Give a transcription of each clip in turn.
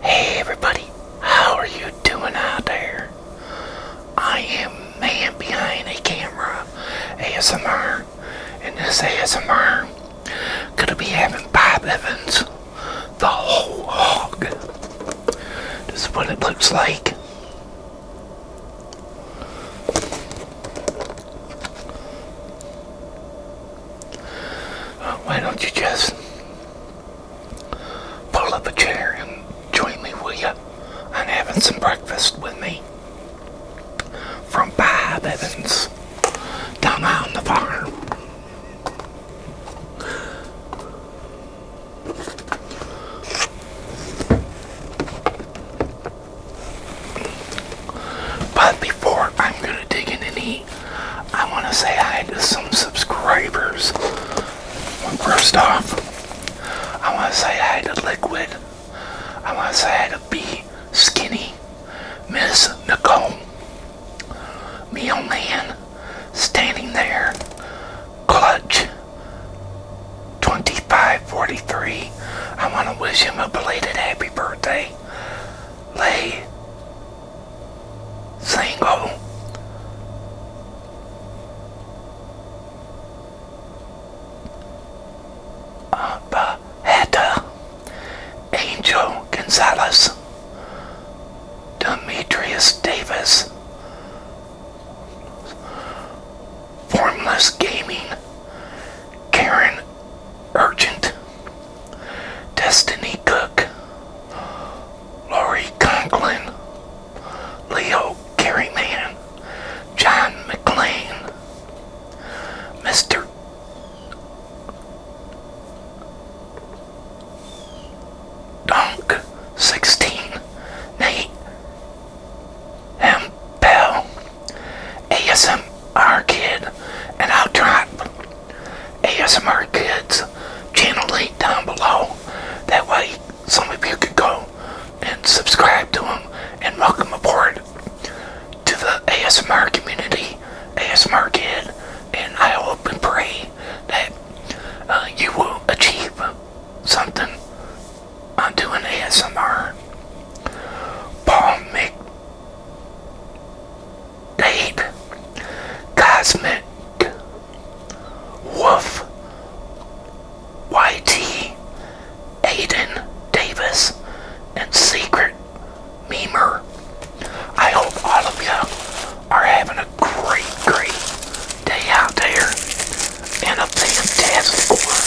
Hey everybody, how are you doing out there? I am man behind a camera ASMR and this ASMR gonna be having Bob Evans the whole hog. This is what it looks like why don't you just pull up a chair and join me, will you, am having some breakfast with me from Bob Evans down on the farm. But before I'm going to dig in any I want to say hi to some subscribers. First off, I want to say hi to Liquid. I want to say hi to B Skinny, Miss Nicole, Meal Man, Standing There, Clutch, 2543. I want to wish him a belated happy birthday. Lay single. Uh, oh. Heta, Angel Gonzalez, Demetrius Davis, Formless Gaming, Karen Urgent, Destiny Cook, Laurie Conklin, Leo Carryman, John McLean, Mr. Donk. 16, Nate M. Bell, ASM our kid, and I'll drop ASMR Kids channel link down below. That way, some of you could go and subscribe to them and welcome aboard to the ASMR community, ASMR Kid, and I hope and pray that uh, you will achieve something on doing ASMR. Paul Mc Dave Cosmic Woof, YT Aiden Davis and Secret Memer. I hope all of you are having a great, great day out there and a fantastic one.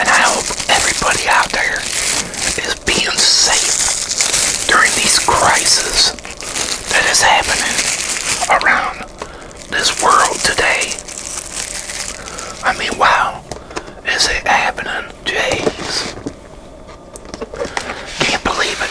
And I hope everybody out there is being safe during these crises that is happening around this world today. I mean, wow, is it happening? Jeez. Can't believe it.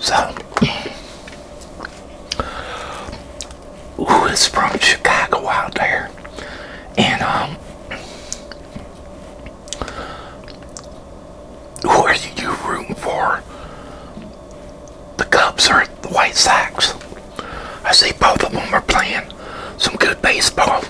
So, who is from Chicago out there? And, um, who are you rooting for the Cubs or the White Sox. I see both of them are playing some good baseball.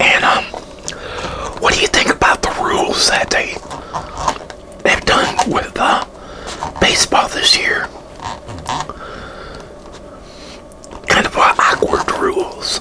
And um what do you think about the rules that they have done with uh, baseball this year? Kind of uh, awkward rules.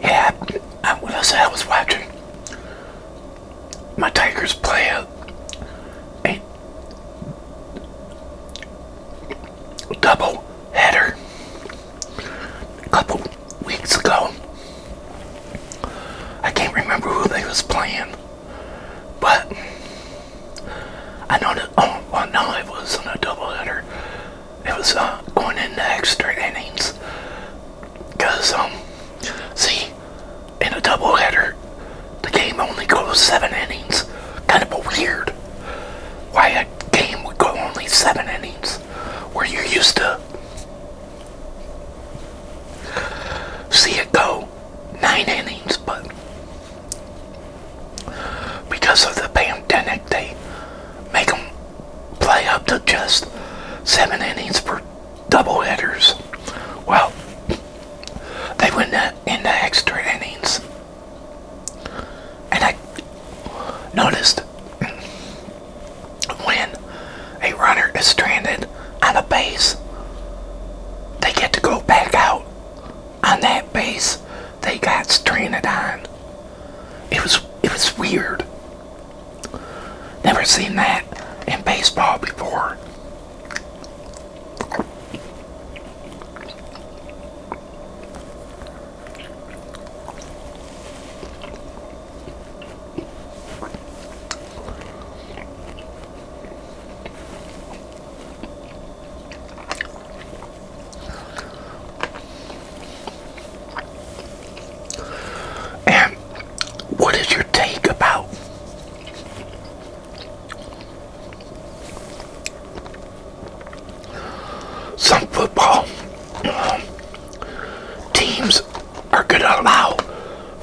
Yeah, I, I I was watching my Tigers play double header a couple weeks ago. I can't remember who they was playing, but I know that. Oh, well, no, it wasn't a double header. It was uh, going into extra innings because um, see, in a double header, the game only goes seven innings. Kind of a weird why a game would go only seven innings where you used to see it go nine innings, but because of the pandemic, they make them play up to just seven innings for doubleheaders. Well, they went in the extra innings. And I noticed when a runner is stranded on a base, they get to go back out on that base they got stranded on. It was it was weird. Never seen that in baseball before. And what is your take about some football um, teams are going to allow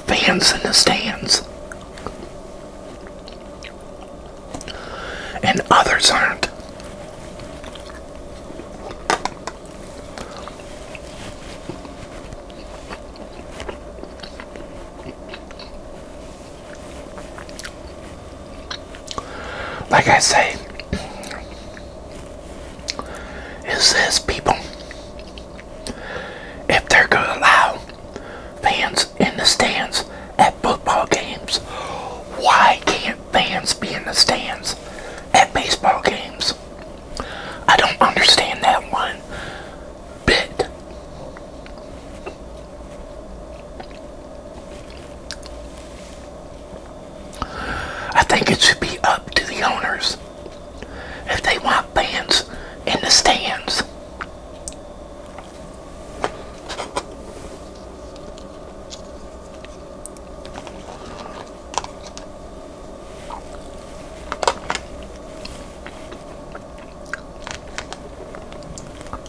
fans in the stands, and others aren't like I say, it says people, if they're going to allow fans in the stands at football games, why can't fans be in the stands at baseball games? I don't understand that one I think it should be up to the owners if they want fans in the stands.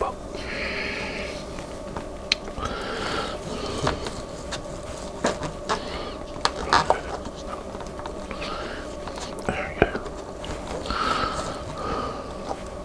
But there we go.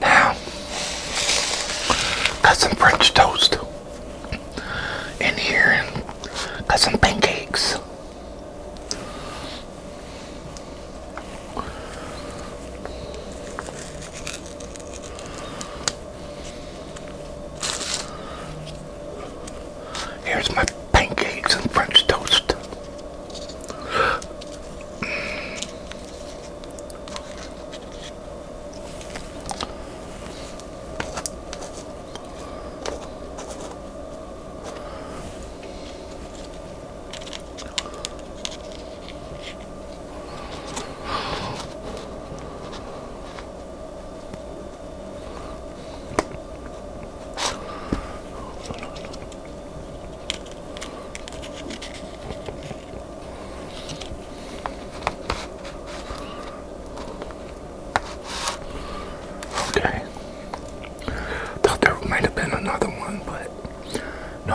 Now, got some French toast in here and got some pancakes. Here's my pancakes and French toast. Okay. Thought there might have been another one, but no.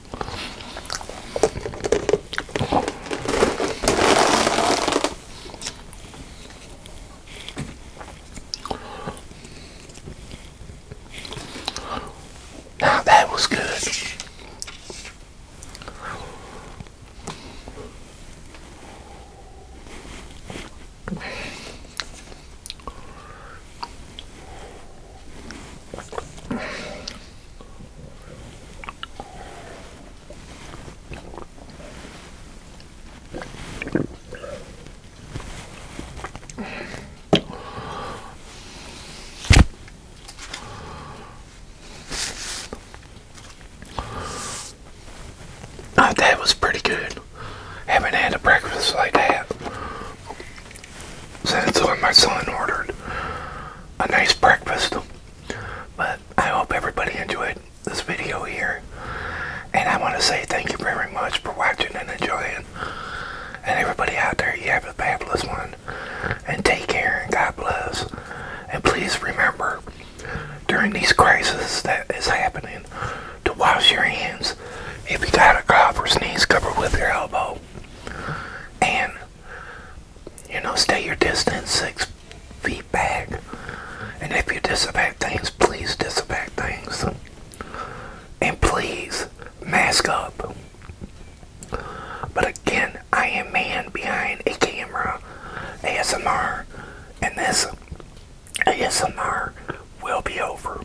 Now that was good that was pretty good. Having had a breakfast like that that's when my son ordered a nice breakfast. But I hope everybody enjoyed this video here. And I want to say thank you very much for watching and enjoying. And everybody out there, you have a fabulous one. And take care and God bless. And please remember, during these crises that is happening, to wash your hands. If you got a cough or sneeze, cover with your elbow and you know stay your distance six feet back and if you disinfect things please disinfect things and please mask up but again I am man behind a camera ASMR and this ASMR will be over